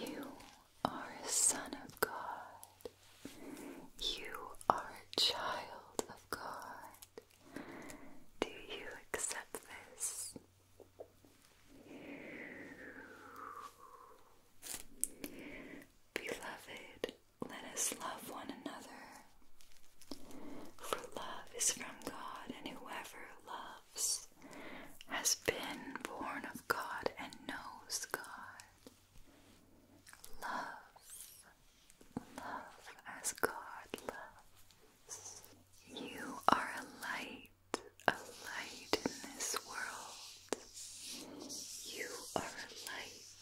You are a son of God. You are a child of God. Do you accept this? Beloved, let us love one another. For love is from God, and whoever loves has been born of God and knows God. Love, love as God loves. You are a light a light in this world. You are a light.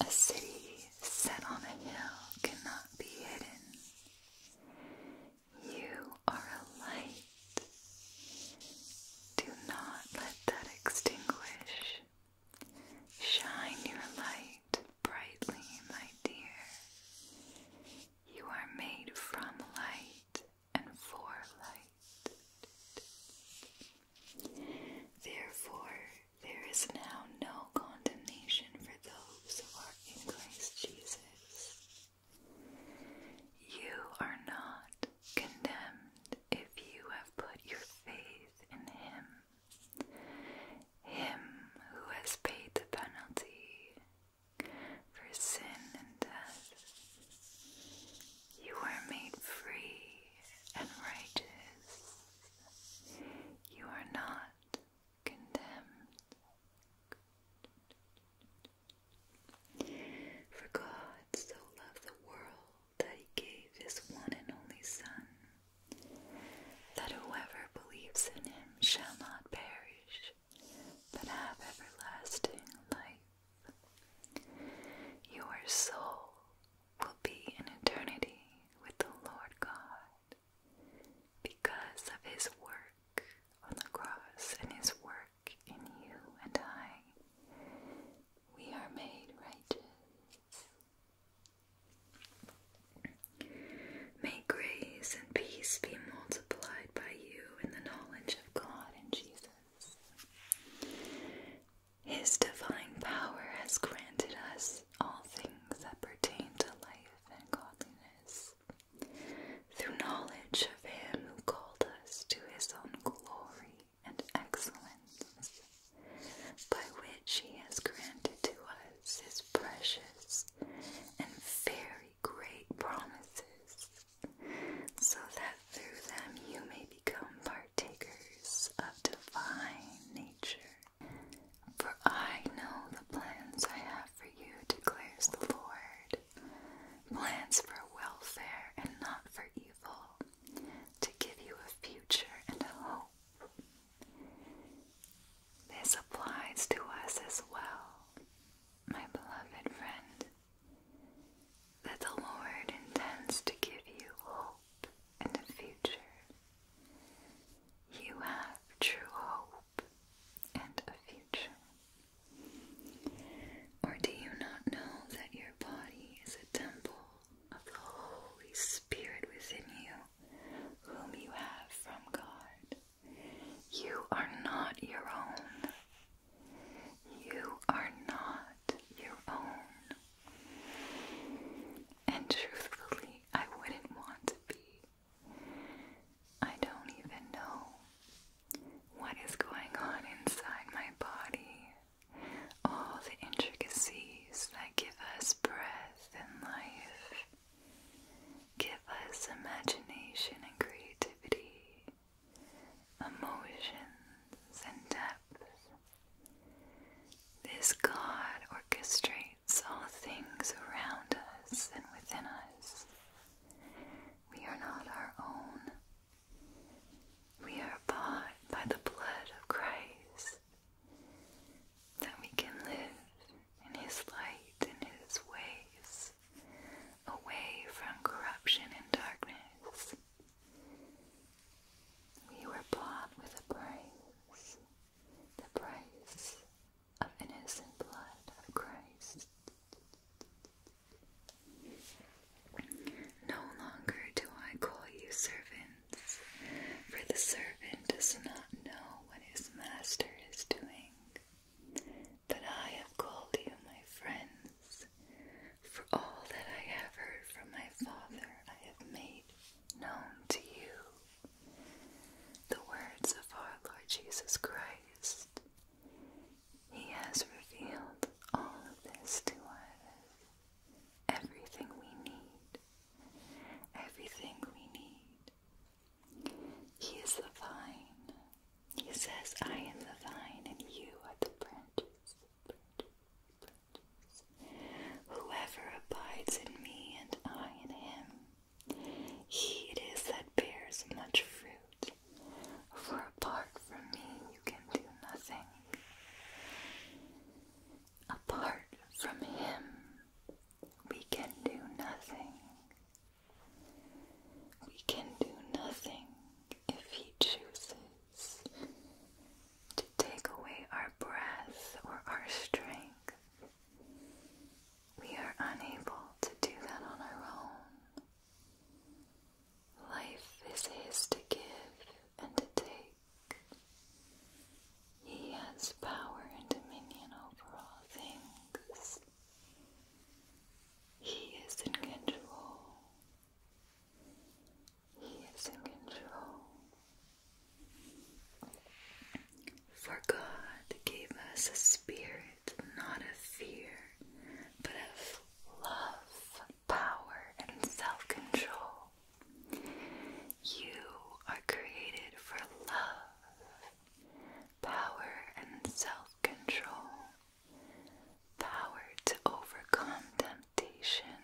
A city set on a hill cannot be hidden. You are a light. Do not let that extinguish. Shine your light brightly, my dear. You are made from light and for light. Therefore, there is now no condemnation for those who are in Christ Jesus. You are not condemned if you have put your faith in Him, Him who has paid the penalty for sin and death. You are made free and righteous. You are not condemned. For God so loved the world that he gave his one and only Son, that whoever believes in him shall not perish, but have everlasting life. Your soul will be in eternity with the Lord God because of his work on the cross and his work in you and I. We are made righteous. May grace and peace be multiplied by you in the knowledge of God and Jesus. His divine power has granted us all things that pertain to life and godliness through knowledge of Him who called us to His own glory and excellence, by which He has granted to us His precious and very great promises, so that through them you may become partakers of divine nature. For I know the plans I have for you, declares the Lord plans for welfare and not for evil, to give you a future and a hope. This applies to us as well my beloved friend, that the Lord intends to give you hope in the future. You have true hope and a future. Or do you not know that your body is a temple of the Holy Spirit within you, whom you have from God? You are not your own. You are not your own. And truthfully, I wouldn't want to be. I don't even know what is going on inside my body. All the intricacies that give us breath and life. Give us imagination and creativity, emotions and depth. This God orchestrates all things around us and within us. We are not our own. We are bought by the blood of Christ that we can live in His light and His ways away from corruption and darkness. We were bought with a price, the price of innocent blood of Christ. No longer do I call you servants, for the servant does not know what his master is doing that I have called you my friends. For all that I have heard from my Father, I have made known to you. The words of our Lord Jesus Christ. He has revealed all of this to us. Everything we need. Everything we need he is the vine. He says, I am the vine, and you are the branches. Whoever abides in me, and I in him, he it is that bears much fruit. For apart from me, you can do nothing. Apart from him, we can do nothing. We can do nothing if He chooses to take away our breath or our strength. We are unable to do that on our own. Life is His to give and to take. He has power and dominion over all things. He is in control. He is in control. For God gave us a spirit not of fear, but of love, power, and self control. You are created for love power and self control, power to overcome temptation,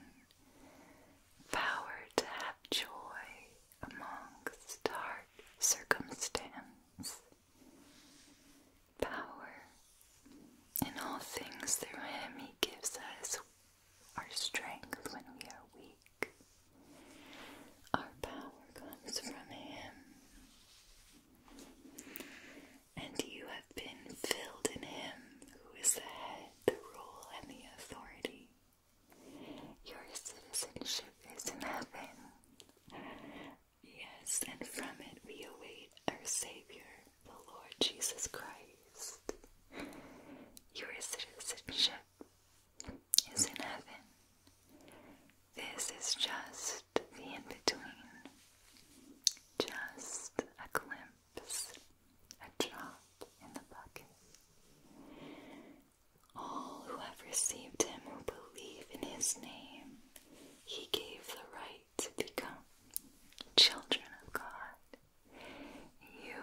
power to have joy amongst dark circumstance, power. In all things through Him, He gives us our strength when we are weak. Our power comes from Him. And you have been filled in him who is the head, the rule, and the authority. Your citizenship is in heaven. Yes, and from it we await our Savior, the Lord Jesus Christ. Your citizenship is in heaven. This is just just the in between, just a glimpse, a drop in the bucket. All who have received him who believe in his name, he gave the right to become children of God. You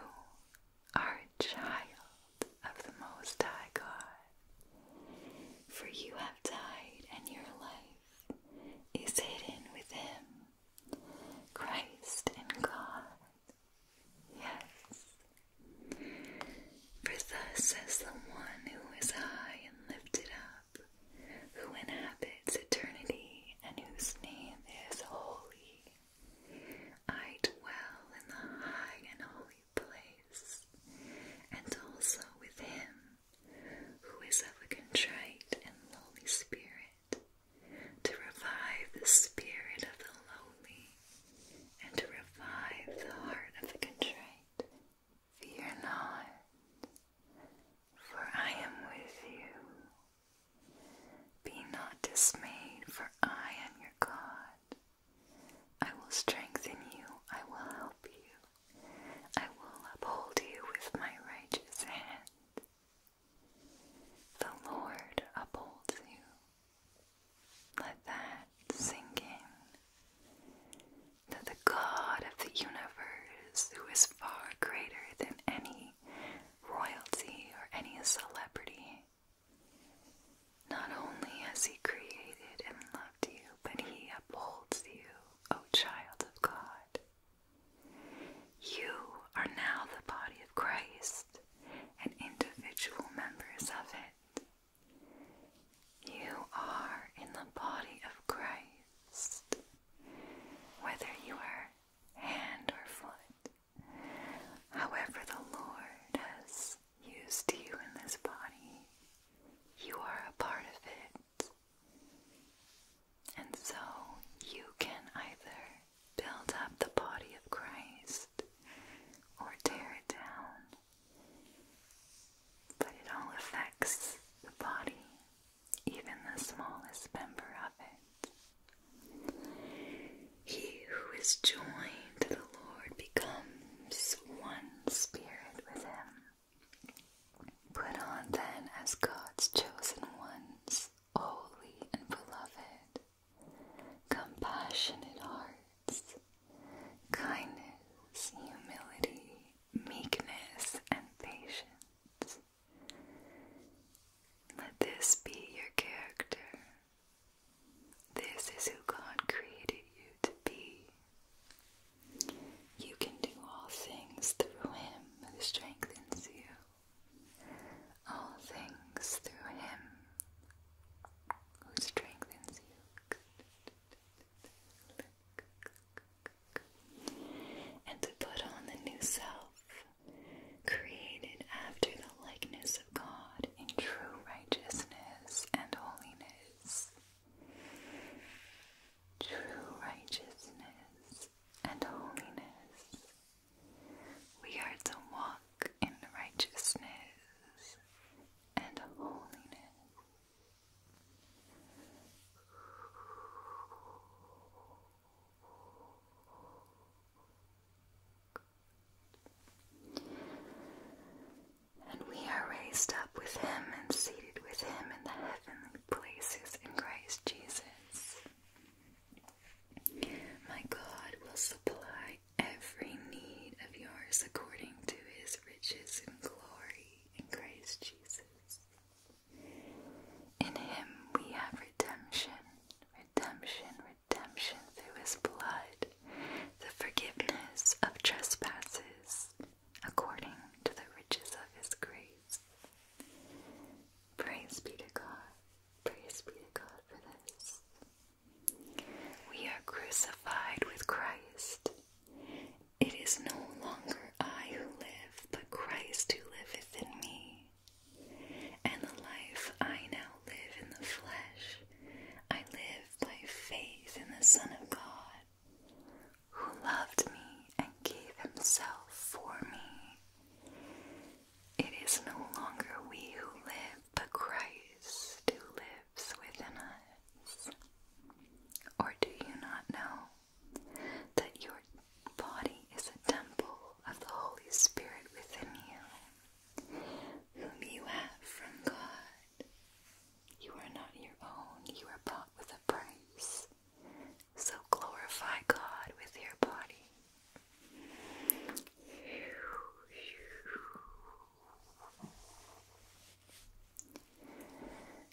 are a child of the Most High God. For you have died, and your life is hidden with Him, Christ in God. Yes. For thus says the one who is high and lifted up, who inhabits eternity, and whose name is holy. I dwell in the high and holy and also with him who is of a contrite and lowly spirit, to revive the spirit of the lonely and to revive the heart of the contrite. Fear not, for I am with you. Be not dismayed, for I am your God. I will strengthen you, I will help you, I will uphold you with my righteous hand. The Lord upholds you. Let that sink in. That the God of the universe, who is far greater than any royalty or any celebrity, not only has He created and loved you, but he upholds you, O child of God. You are now the body of Christ and individual members of it. You are in the body of Christ, whether you are hand or foot. However, the Lord has used you in this body, you are a part of it. And so you can either build up the body of Christ or tear it down. But it all affects the body, even the smallest member of it. He who is joined to the Lord becomes one spirit with him. Put on then as God's chosen ones, holy and beloved, compassionate hearts, kindness, humility, meekness, and patience. Let this be your character. This is who God created you to be. You can do all things through him who strengthens you. All things through him who strengthens you. And to put on the new self, created after the likeness of God in true righteousness and holiness true righteousness and holiness. We are to walk in righteousness and holiness. And we are raised up with him and seated with him in the heavenly places in Christ Jesus. My God will supply every need of yours according to his riches and glory in Christ Jesus. In him we have redemption, redemption, redemption through his blood, the forgiveness of trespasses according to the riches of his grace. Praise be to God. Praise be to God for this. We are crucified with Christ. It is no longer I who live, but Christ who liveth in me. And the life I now live in the flesh, I live by faith in the Son of God who loved me and gave himself for me. It is no longer we who live, but Christ who lives within us. Or do you not know that your body is a temple of the Holy Spirit within you, whom you have from God? You are not your own, you are bought with a price. So glorify God with your body.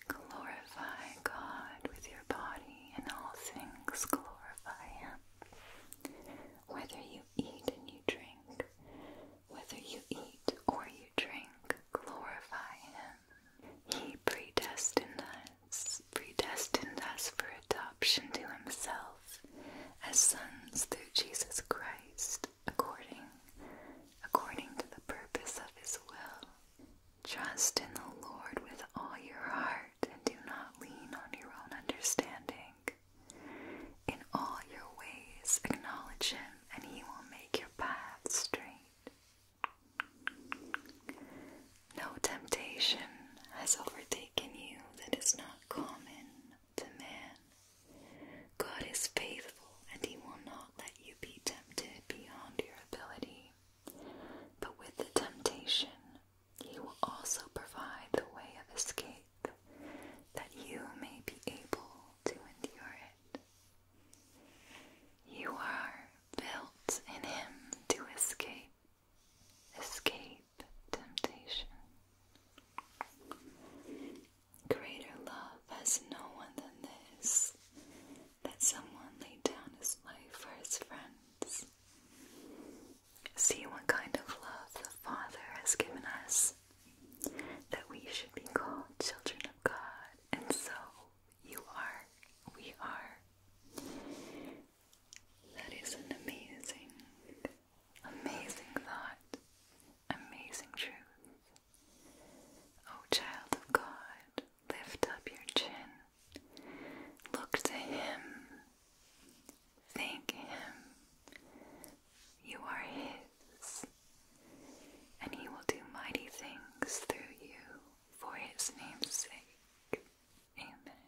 Glorify God with your body, and all things glorify Him. Whether you eat and you drink, whether you eat or you drink, glorify Him. He predestined us, predestined us for adoption to himself as sons through Jesus Christ, according according to the purpose of his will. Trust in the Lord with all your heart and do not lean on your own understanding. In all your ways acknowledge him and he will make your path straight. No temptation has overtaken you that is not common to man. God is faithful, and He will not let you be tempted beyond your ability. But with the temptation, He will also provide the way of escape that you may be able to endure it. You are built in Him to escape, escape temptation. Greater love has no one than this that someone laid down his life for his friends. See what kind of love the Father has given us, that we should be called children of God, and so you are. We are. That is an amazing, amazing thought. Amazing truth. Oh, child of God, lift up your chin. Look to Him. Thank Him. You are His and he will do mighty things through you for his name's sake. Amen.